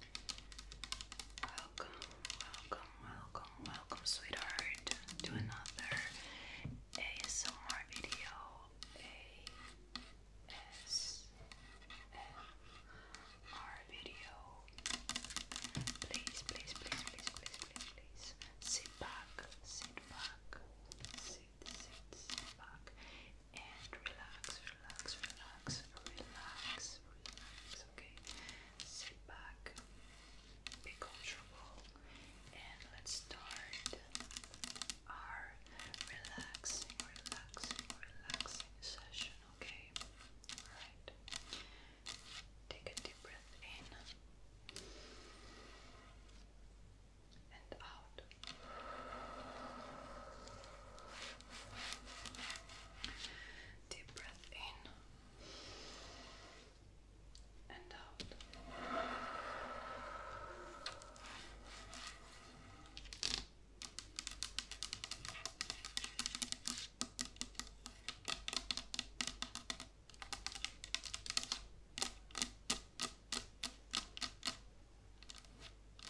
Welcome, welcome, welcome, welcome, sweetheart, to another ASMR video. ASMR video. Please, please, please, please, please, please, Sit back, sit back, sit, sit back, and relax, relax, relax, relax okay? Sit back, be comfortable, and let's start our relaxing, relaxing, relaxing session, okay? Alright. Take a deep breath in and out. Deep breath in and out.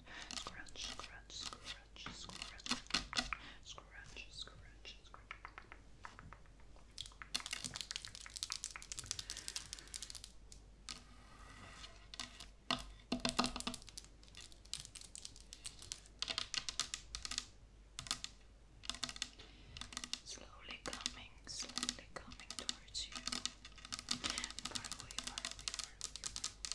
scrunch, scrunch, scrunch, scrunch, scrunch, scrunch, scrunch. Slowly coming, slowly coming towards you. Far away, far away, far away, far away.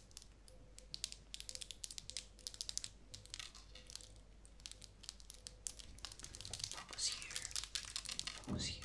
Focus here. Focus here.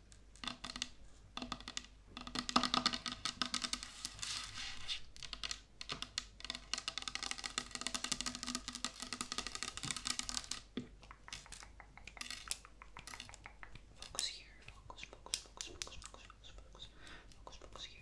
Focus here. Focus, focus, focus, focus, focus, focus, focus, focus here.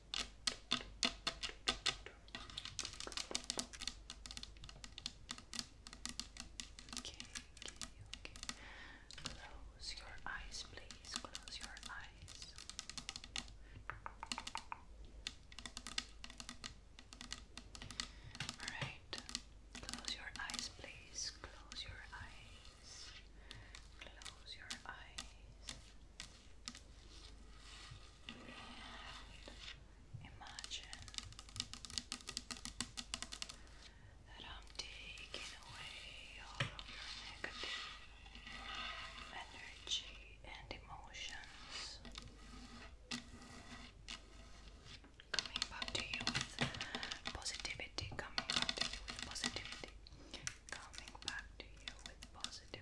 Okay, okay, Close your eyes, please. Close your eyes. Alright. Close your eyes, please. Close your eyes. Close your eyes. And imagine that I'm taking away all your negative energy and emotions. Coming back to you with positivity, coming back to you with positivity, coming back to you with positivity.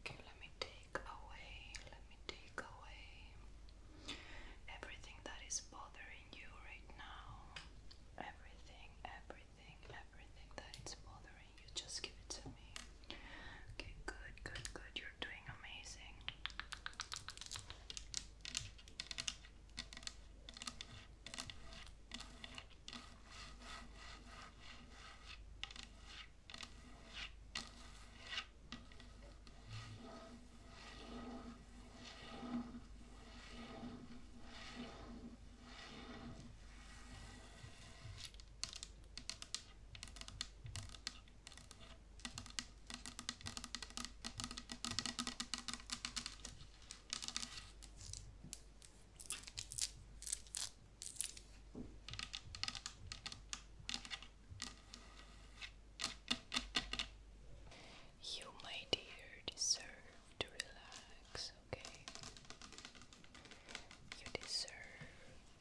Okay, let me take away, let me take away everything that is bothering you right now. Everything, everything everything, that is bothering you, just give it to me. Okay, good, good, good. You're doing amazing. You, my dear, deserve to relax okay. You deserve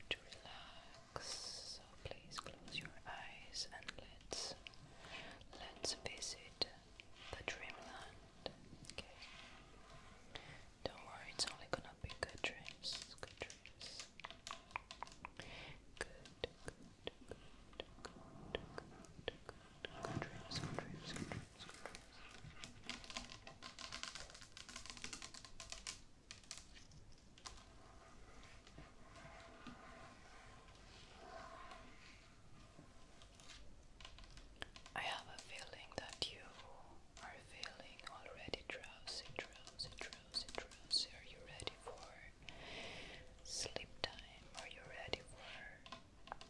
to relax. So please close your eyes and let's let's visit the dreamland. Okay. Don't worry, it's only gonna be good dreams. Good dreams. Good, good, good, good, good, good dreams, good dreams, good dreams. I have a feeling that you are feeling already drowsy, drowsy, drowsy, drowsy. Are you ready for sleep time? Are you ready for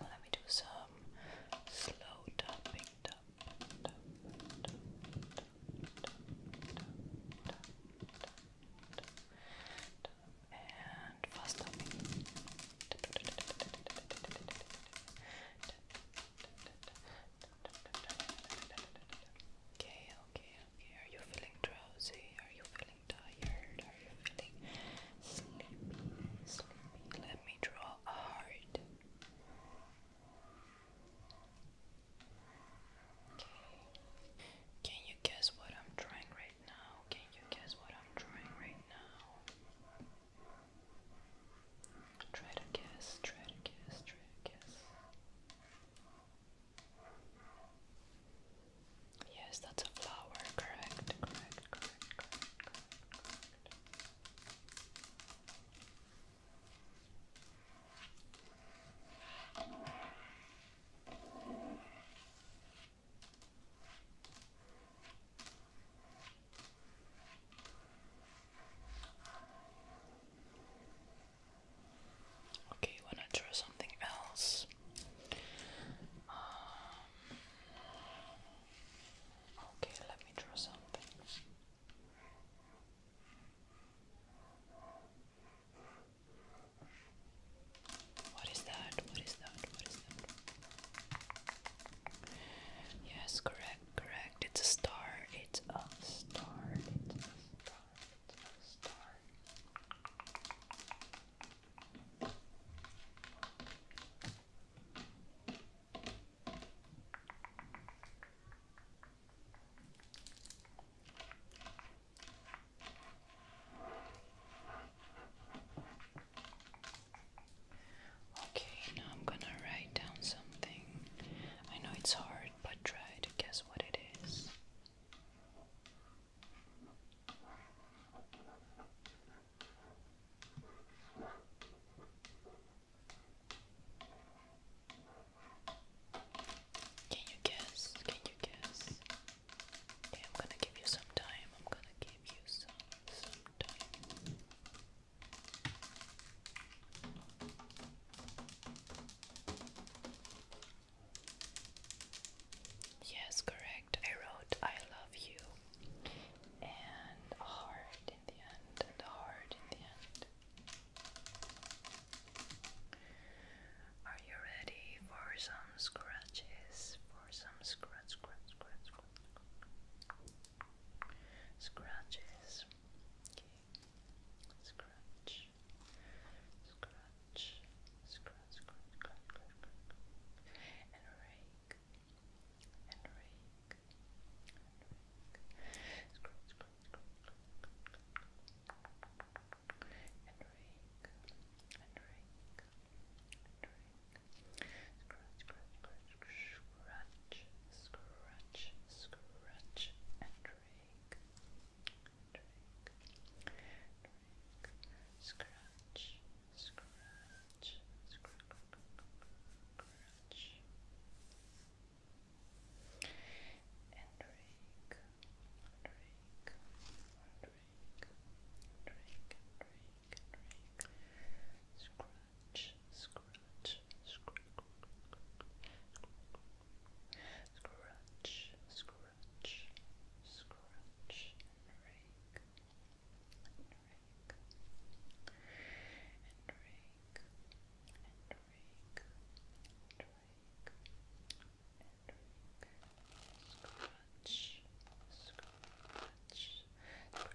Let me do some slow tapping, and fast up. Okay, okay, okay. Are you feeling drowsy? Are you feeling tired? Are you feeling sleepy? Sleepy. Let me draw a heart. Okay. Can you guess what I'm drawing right now? Can you guess what I'm drawing right now? Try to guess, try to guess, try to guess. Yes, that's a flower, correct, correct. correct. Okay, wanna draw something else? Um, okay, let me draw something. What is that? What is that? What is that? Yes, correct, correct. It's a star. It's a star. It's a star. It's a star. Okay, now I'm gonna write down something. I know it's hard, but try to guess what it is. Can you guess? Can you guess? Okay, I'm gonna give you some time. I'm gonna give you some Yes, correct. I wrote I love you and heart in the end, and heart in the end. Are you ready for some scratches? For some scratch, scratch, scratch, scratch. Scratches. Okay. Scratch. Scratch. Scratch, scratch, scratch, scratch, scratch. And rake. And rake. And rake. Scratch, scratch, scratch, scratch, scratch. And rake. And rake. Scratch, scratch, scratch, scratch, and drink. Drink, drink. Scratch, scratch, scratch, and drink, drink, drink, drink, drink. Scratch, scratch, scratch, scratch, scratch, scratch, and rake, and rake, and rake, and rake, and rake, and rake, scratch, scratch, scratch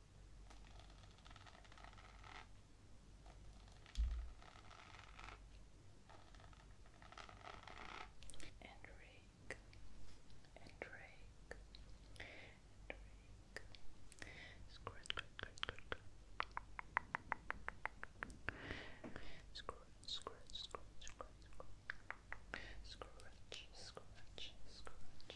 and rake and rake and rake scratch scratch scratch scratch scratch scratch scratch scratch scratch scratch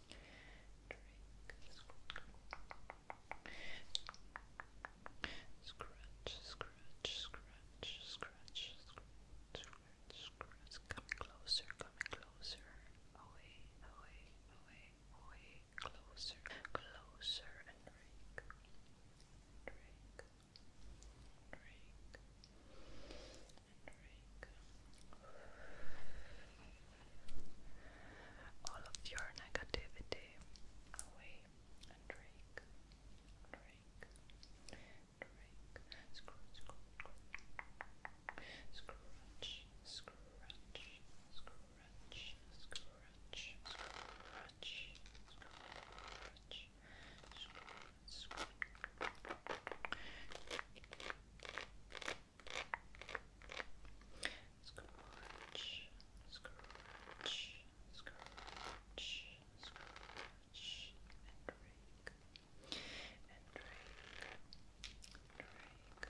Scratch, scratch, scratch, scratch, scratch, scratch, coming closer, coming closer, away, away, away, away, closer, closer, and drink, drink, drink, and drink all of your negativity away and drink, drink, drink, screw, screw, scratch, scratch, scratch, scratch, scratch, scratch. Scratch, scratch, scratch, Scratch, scratch, scratch, scratch, and rake, and rake, rake, rake,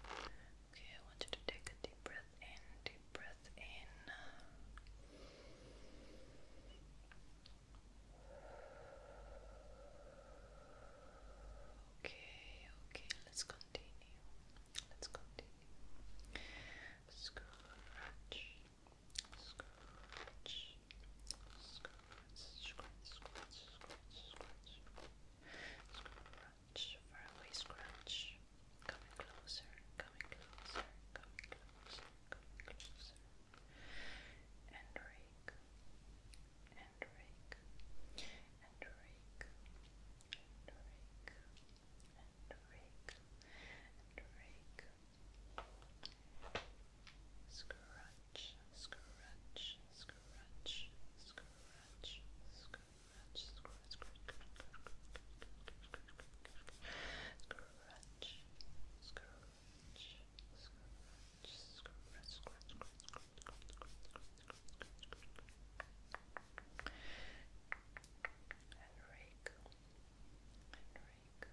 Okay, I want you to take a deep breath in, deep breath in. Okay, okay, let's continue. Let's continue. Scratch, scratch, scratch, scratch, scratch, scratch, scratch, far away scratch. Coming closer, coming closer, coming closer, coming closer and rake and rake and rake and rake and rake and rake scratch scratch scratch scratch scratch scratch scratch scratch scratch scratch scratch, scratch, scratch, scratch, scratch, scratch, scratch, scratch, scratch. And rake, and rake,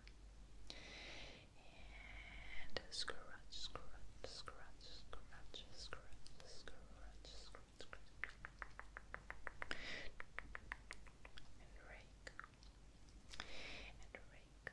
and scratch, scratch, scratch, scratch, scratch, scratch, scratch, scratch, and rake, and rake,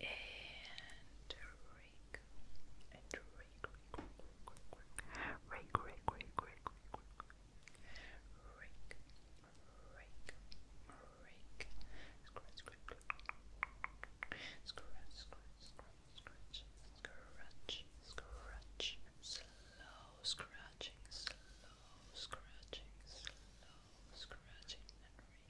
and rake, and rake, rake, rake, rake, rake, rake, rake, rake, rake, scratch, scratch, scratch, scratch, scratch, scratch, slow scratching, slow scratching, slow scratching, and rake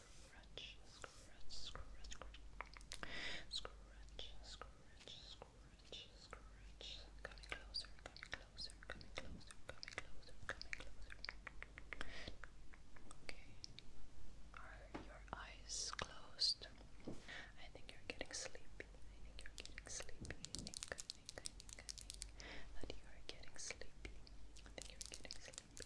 scratch, scratch, scratch, scratch, scratch, scratch, scratch, coming closer, coming closer, coming closer, coming closer, coming closer. Okay. Are your eyes closed? I think you're getting sleepy. I think you're getting sleepy. I think, I think, I think, that you are getting sleepy. I think you're getting sleepy.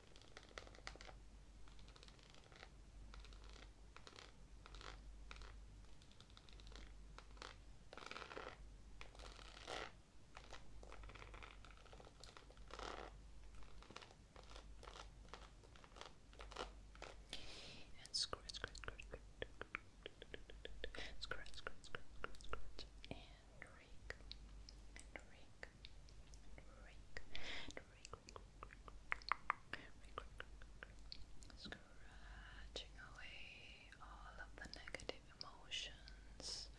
And scratch, scratch, scratch, scratch, scratch, scratch, scratch, scratch, and rake, and rake, and rake, and rake, Scratching away all of the negative emotions,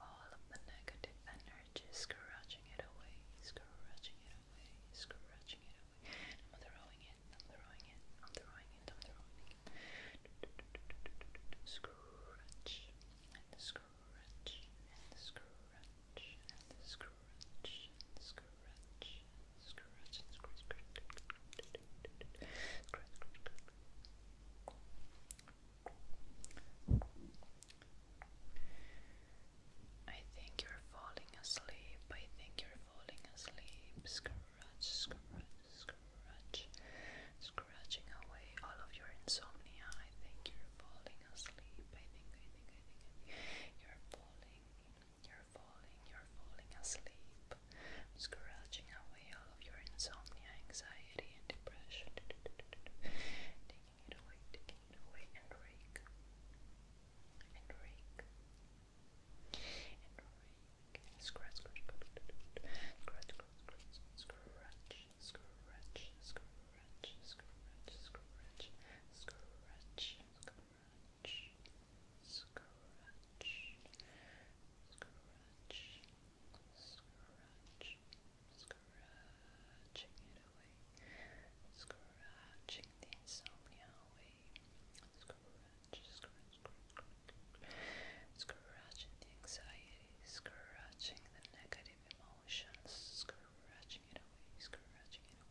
all of the negative energy, scratching it away, scratching it away, scratching it away. I'm throwing it, I'm throwing it, I'm throwing it, I'm throwing it. Scratch and scratch screw wrench, and the screw wrench, and the screw wrench, and the screw wrench, and the screw wrench, and the screw wrench. I think you're falling asleep. I think you're falling asleep. Scratch, scratch, scratch. Scratching away all of your insomnia. I think you're falling asleep. I think, I think, you're falling, you're falling, you're falling asleep, scratching away all of your insomnia, anxiety, and depression. taking it away, taking it away, and rake, and rake, and rake, scratch, scratch, scratch, scratch, scratch, scratch, scratch, scratch, scratch, scratch, scratch, scratch, scratch, scratch, scratching it away, scratching the insomnia away, scratching the anxiety, scratching the negative emotions, scratching it away, scratching it away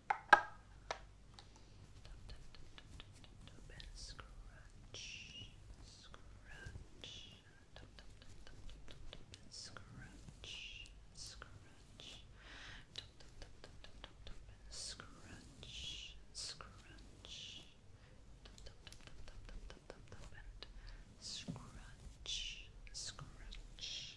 and scratch, scratch, and scratch, scratch, and scratch, scratch. And scratch, scratch,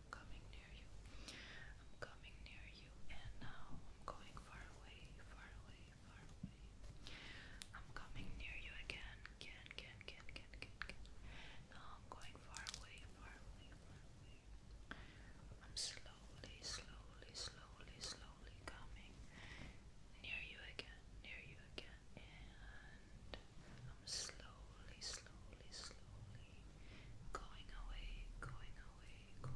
I'm coming near you. I'm coming near you, and now I'm going far away, far away, far away. I'm coming near you again, again, again, again, again, again, again. Now I'm going far away, far away, far away. I'm slowly, slowly, slowly, slowly coming near you again, near you again, and I'm slowly, slowly, slowly going away, going away, going away.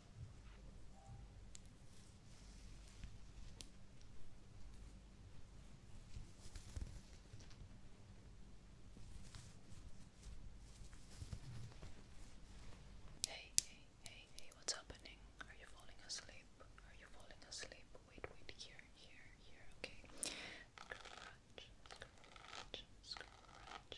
Hey, hey, hey, hey, what's happening? Are you falling asleep? Are you falling asleep? Wait, wait, here, here, here, okay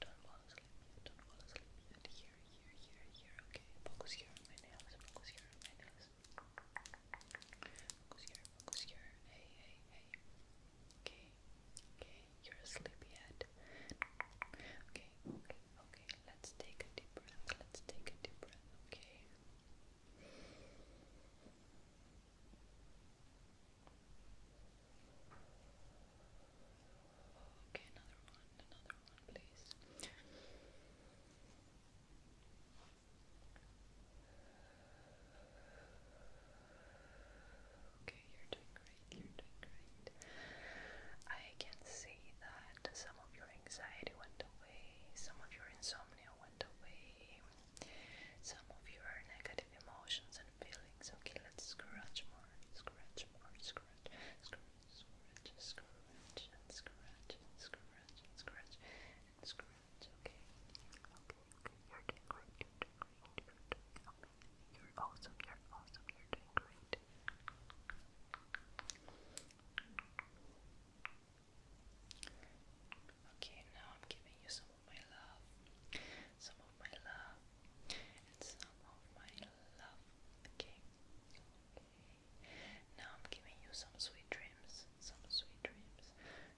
don't fall asleep Don't fall asleep yet. Here, here, here, Okay, focus here on my nails. Focus here on my nails. Focus here. Focus here. Hey, hey, hey. Okay, okay. You're sleepy head. Okay, okay, okay. Let's take a deep breath. Let's take a deep breath. Okay. Okay, another one, another one, please. Okay, you're doing great, you're doing great. I can see that some of your anxiety went away, some of your insomnia went away, some of your negative emotions and feelings. Okay, let's scratch more, scratch more, scratch, scratch, scratch, scratch, and scratch, and scratch, and scratch, and scratch. Okay, okay, okay. You're doing great. You're doing great. You're doing okay. You're awesome. You're awesome. You're doing great. Okay, now I'm giving you some some of my love, some of my love, and some of my love. Okay, Now I'm giving you some sweet dreams, some sweet dreams,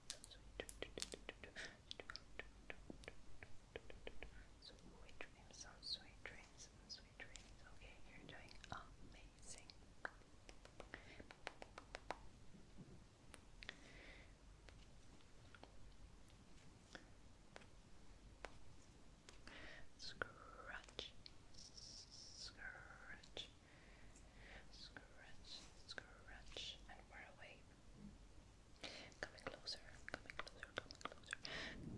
some sweet dreams, some sweet dreams, some sweet dreams. Okay, you're doing amazing. Scratch, scratch, scratch, scratch, and we're away. Coming closer, coming closer, coming closer,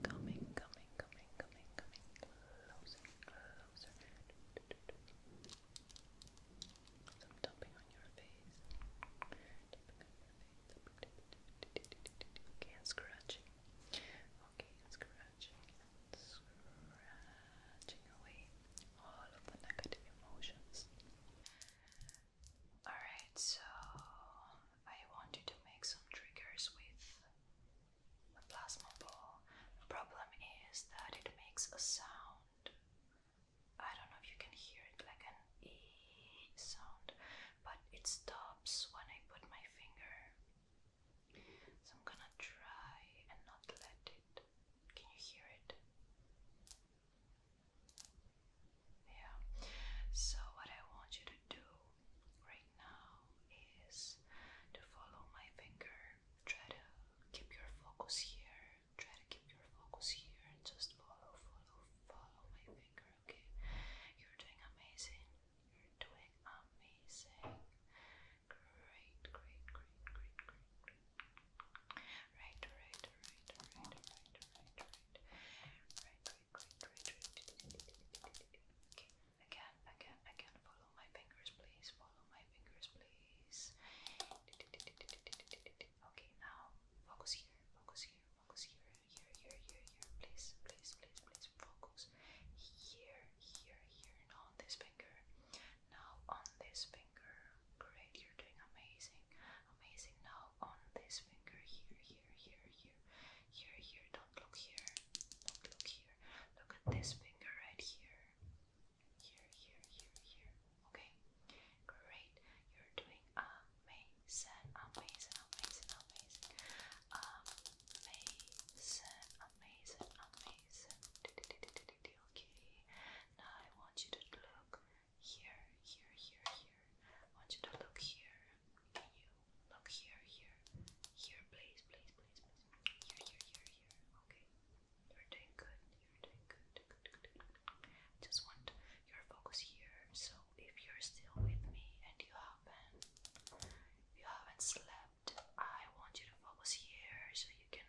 coming, coming, coming, coming, coming closer, closer. I'm on your face. Okay, scratching. Okay, scratching scratching away all of the negative emotions. Alright, so I want you to make some triggers with the plasma ball. The problem is that it makes a sound I don't know if you can hear it like an E sound, but it stops when I put my finger. So I'm gonna try and not let it. Can you hear it? Yeah. So, what I want you to do right now is to follow my finger. Try to keep your focus here. Try to keep your focus here and just follow, follow, follow my finger okay. You're doing amazing. You're doing amazing. Great, great, great, great, great, Right, right, right, right, right, right, right. Right, right, right, right, Okay. Again, again, again. Follow my fingers, please. Follow my fingers, please. Okay, now focus here, focus here, focus here here, here, here, here. Please, please, please, please focus. Here, here, here. Now on this finger. Now on this finger. Great, you're doing amazing, amazing. Now on this finger. Here, here, here, here, here, here. Don't look here. Don't look here. Look at this finger right here. Here, here, here, here. Okay, great. You're doing amazing, amazing, amazing, amazing, amazing, amazing, amazing. Okay, now I want you to look here, here, here, here. I want you to look here. Can you look here, here, here, please, please, please, please. Here, here, here, here. Okay, you're doing good. You're doing good. good, good, good, good. I just want your focus here. So if you're still with me and you haven't you haven't slept, I want you to focus here so you can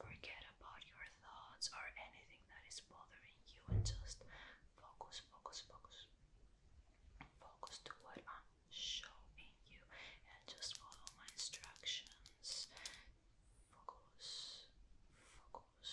forget about your thoughts or anything that is bothering you and just focus, focus, focus. Focus to what I'm showing you and just follow my instructions. Focus, focus,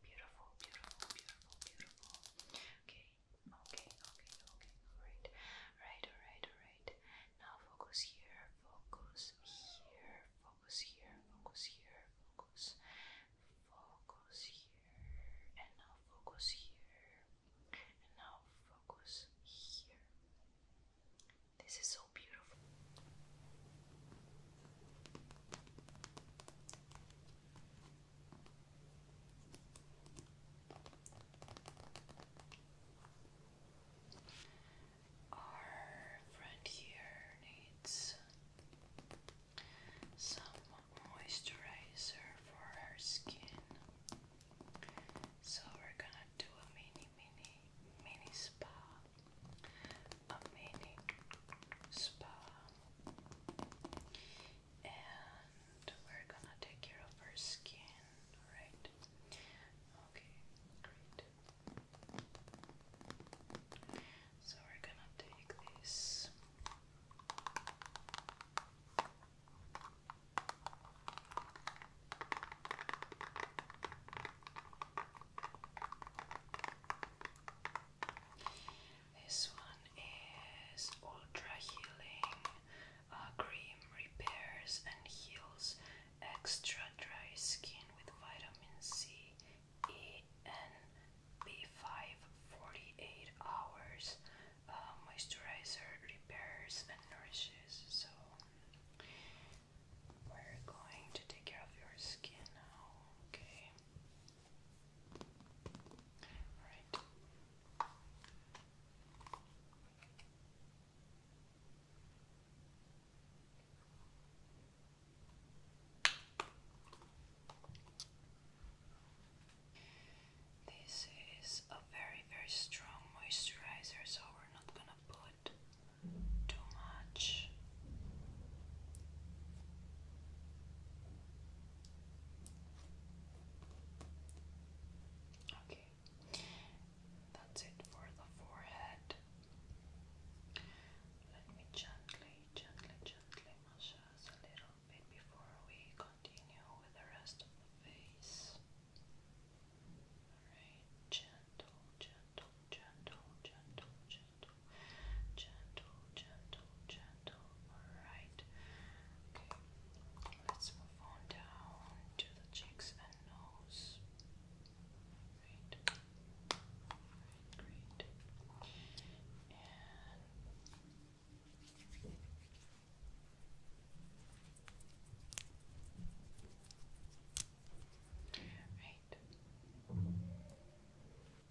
Beautiful, beautiful, beautiful, beautiful. Okay, okay, okay, okay. Alright, right, alright, alright. Now focus here, focus here, focus here, focus here, focus, focus here, and now focus here, and now focus here. This is so beautiful. Our friend here needs some moisturizer for her skin, so we're gonna do a mini, mini, mini spa a mini spa, and we're gonna take care of her skin, right? Okay, great. So we're gonna take this. This one is Ultra Healing uh, Cream Repairs and Heals Extra Dry Skin with Vitamin C, E, and B5 48 hours uh, repairs and nourishes. So, we're going to take care of your skin now, okay? This is a very, very strong moisturizer, so we're not gonna put too much. Okay, that's it for the forehead. Let me gently, gently, gently massage a little bit before we continue with the rest of the face. Alright, gentle, gentle gentle, gentle, gentle, gentle, gentle, gentle. Alright. Okay. Let's move on down to the cheeks and nose. Great. Great. And Right.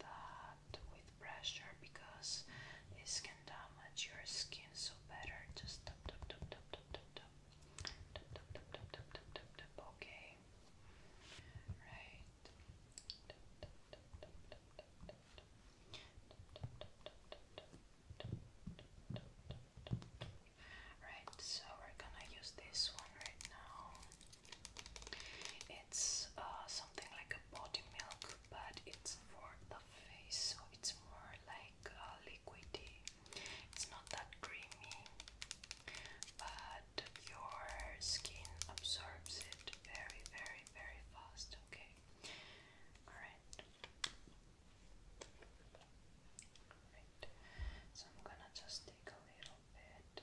that with pressure because this can damage your skin so better just okay right Right, so we're gonna use this one right now it's uh, something like a body milk, but it's for the face, so it's more like uh, liquidy. It's not that creamy, but your skin absorbs it very, very, very fast. Okay, all right. So I'm gonna just take a little bit. Okay.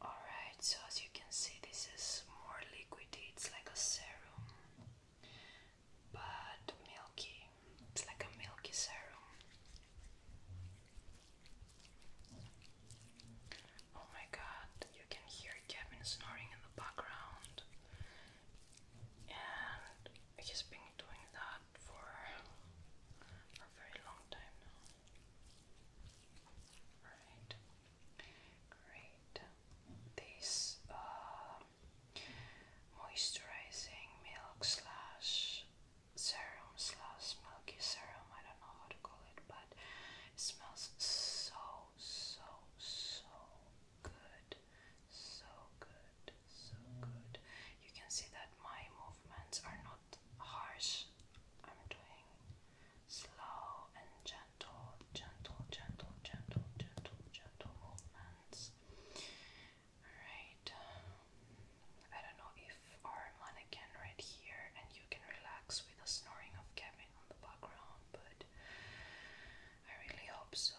Alright, so as you can see, this is more liquidy, it's like a serum, but milky, it's like a milky serum. Oh my god, you can hear Kevin snoring in the background, and he's been doing that for a very long time now. Great. This uh, moisturizing milk slash serum slash milky serum, I don't know how to call it, but it smells so, so, so good. So good, so good. You can see that my movements are not harsh. I'm doing slow and gentle, gentle, gentle, gentle, gentle, gentle movements. Alright. Um, I don't know if our mannequin right here and you can relax with the snoring of Kevin on the background, but I really hope so.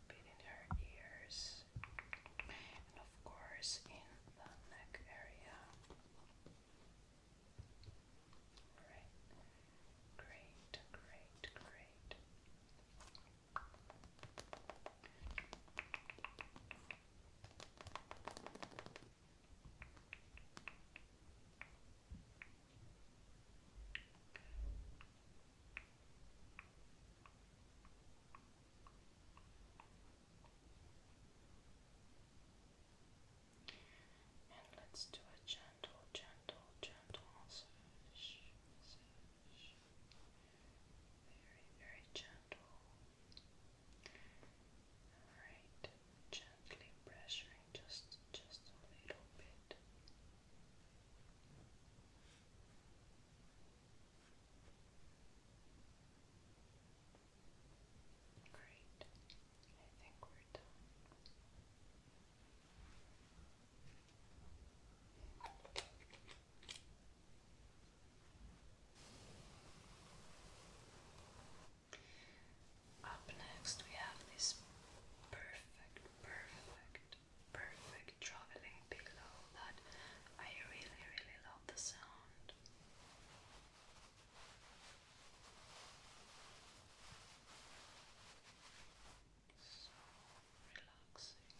little bit her ears, and of course in the neck area. Alright, great, great, great. And let's do a gentle, gentle, gentle massage. Very, very gentle. Alright, gently pressuring just just a little bit. Great. I think we're done. Up next, we have this perfect, perfect perfect traveling pillow that I really, really love the sound. So relaxing.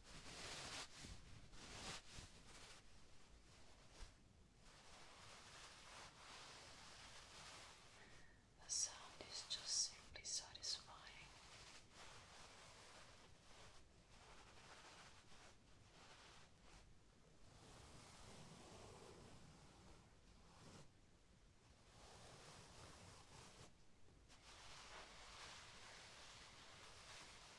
The sound is just simply satisfying.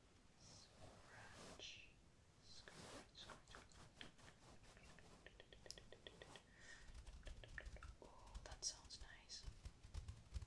Scratch. Scratch, scratch. Oh, that sounds nice. Scratch,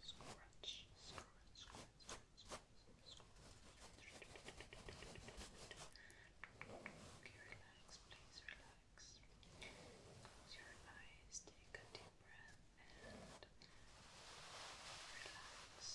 Scratch, scratch, scratch, scratch, scratch, scratch. Okay, relax, please relax. Close your eyes, take a deep breath, and relax. Relax. Right.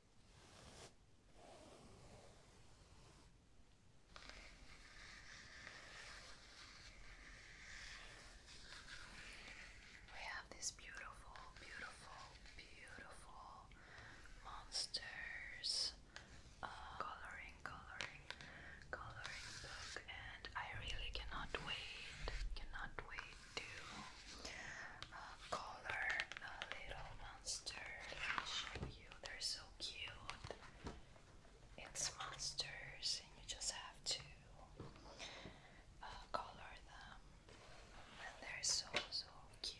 We have these beautiful, beautiful, beautiful monsters uh, coloring, coloring, coloring book, and I really cannot wait, cannot wait to uh, color the little monster. Let me show you. They're so cute. It's monsters, and you just have to uh, color them, and they're so so cute.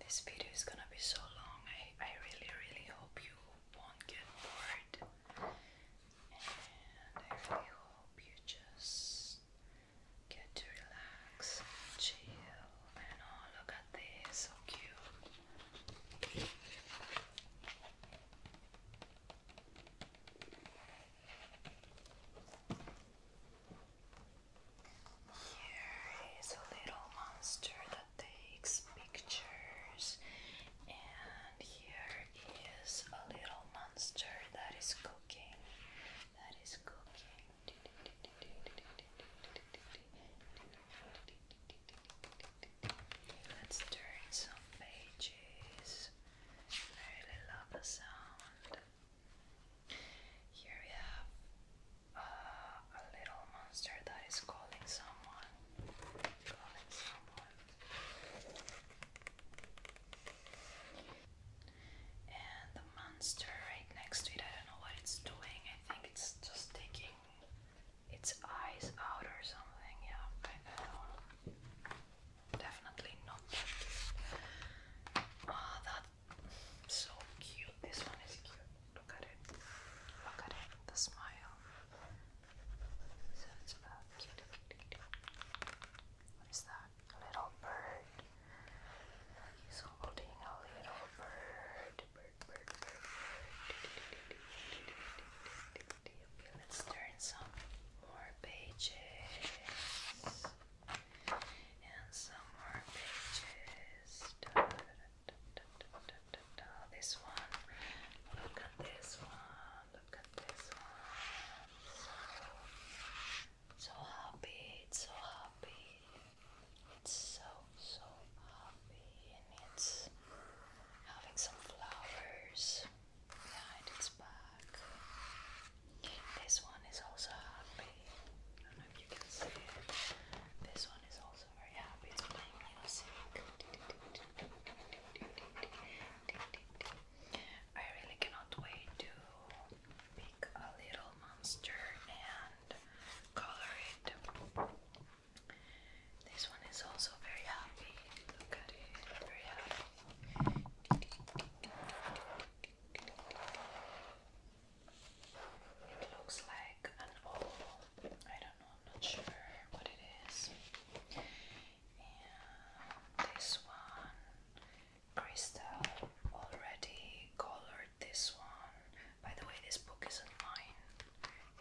This video is gonna be so long. I, I really, really hope you won't get bored. And I really hope you just get to relax chill. And oh, look at this, so cute. Here is a little monster that takes pictures, and here is a little monster that is cooking. That is cooking. Let's turn some pages. I really love the sound. Here we have a little monster that is calling someone. Calling someone. And the monster right next to it, I don't know what it's doing. I think it's just taking its eyes out or something. Yeah, Definitely not Ah, that so cute. This one is cute. Look at it. Look at it. The smile. So it's about cute, What is that? little bird. He's holding a little bird. let's turn some more pages. And some more pages. This one, look at this one, look at this one. So, happy, it's so happy. It's so, so happy, and it's having some flowers behind its back. This one is also happy. I don't know if you can see it. This one is also I really cannot wait to pick a little monster and color it. This one is also very happy. It looks like an oval. I don't know, I'm not sure what it is. this one, Crystal already colored this one. By the way, this book isn't mine.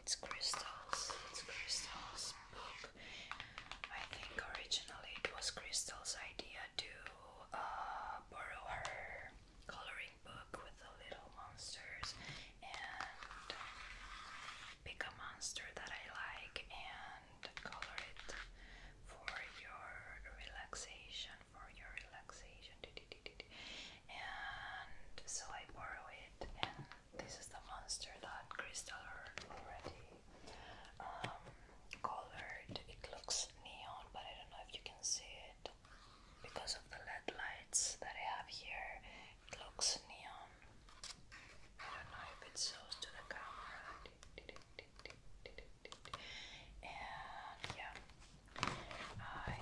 It's Crystal's. It's Crystal's book. I think originally it was Crystal's idea to uh, borrow her coloring book with the little monsters and pick a monster that I like and color it for your relaxation for your relaxation and so I borrow it this is the monster that Crystal already um, colored it looks neon but I don't know if you can see it because of the LED lights that I have here, it looks neon. I don't know if it shows to the camera. And yeah, I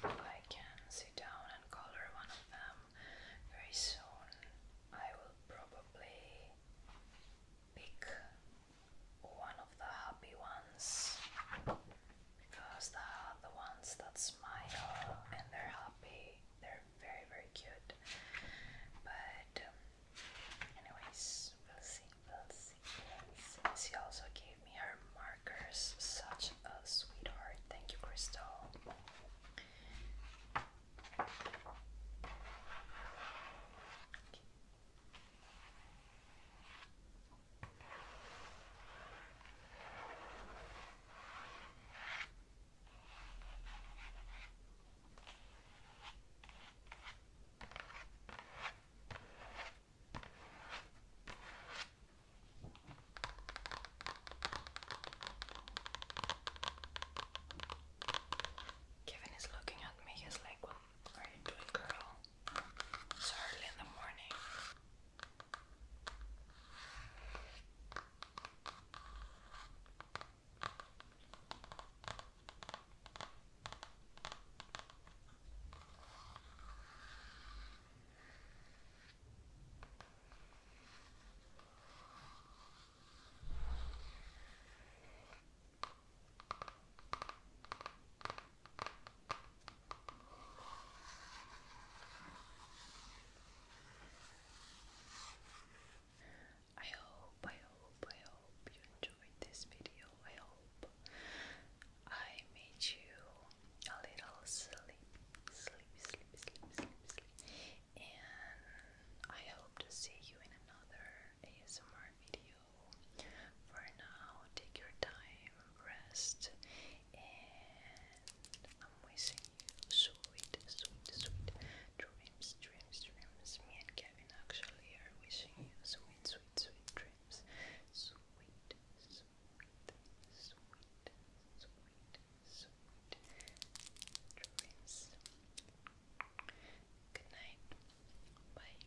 hope I can sit down and color one of them very soon. I will probably pick one of the happy ones because they are the ones that smile and they're happy. They're very, very cute. But, um, anyways, we'll see, we'll see, we She also gave me her markers. Such a sweetheart. Thank you, Crystal. Kevin is looking at me, he's like, What are you doing, girl? It's early in the morning. I hope, I hope, I hope you enjoyed this video. I hope I made you a little sleep, sleep, sleep, sleep, sleep, And I hope to see you in another ASMR video you. For now, take your time, rest, and I'm wishing you sweet, sweet, sweet dreams, dreams, dreams. Me and Kevin actually are wishing you sweet, sweet, sweet dreams. Sweet, sweet, sweet, sweet, sweet dreams. Good night. Bye.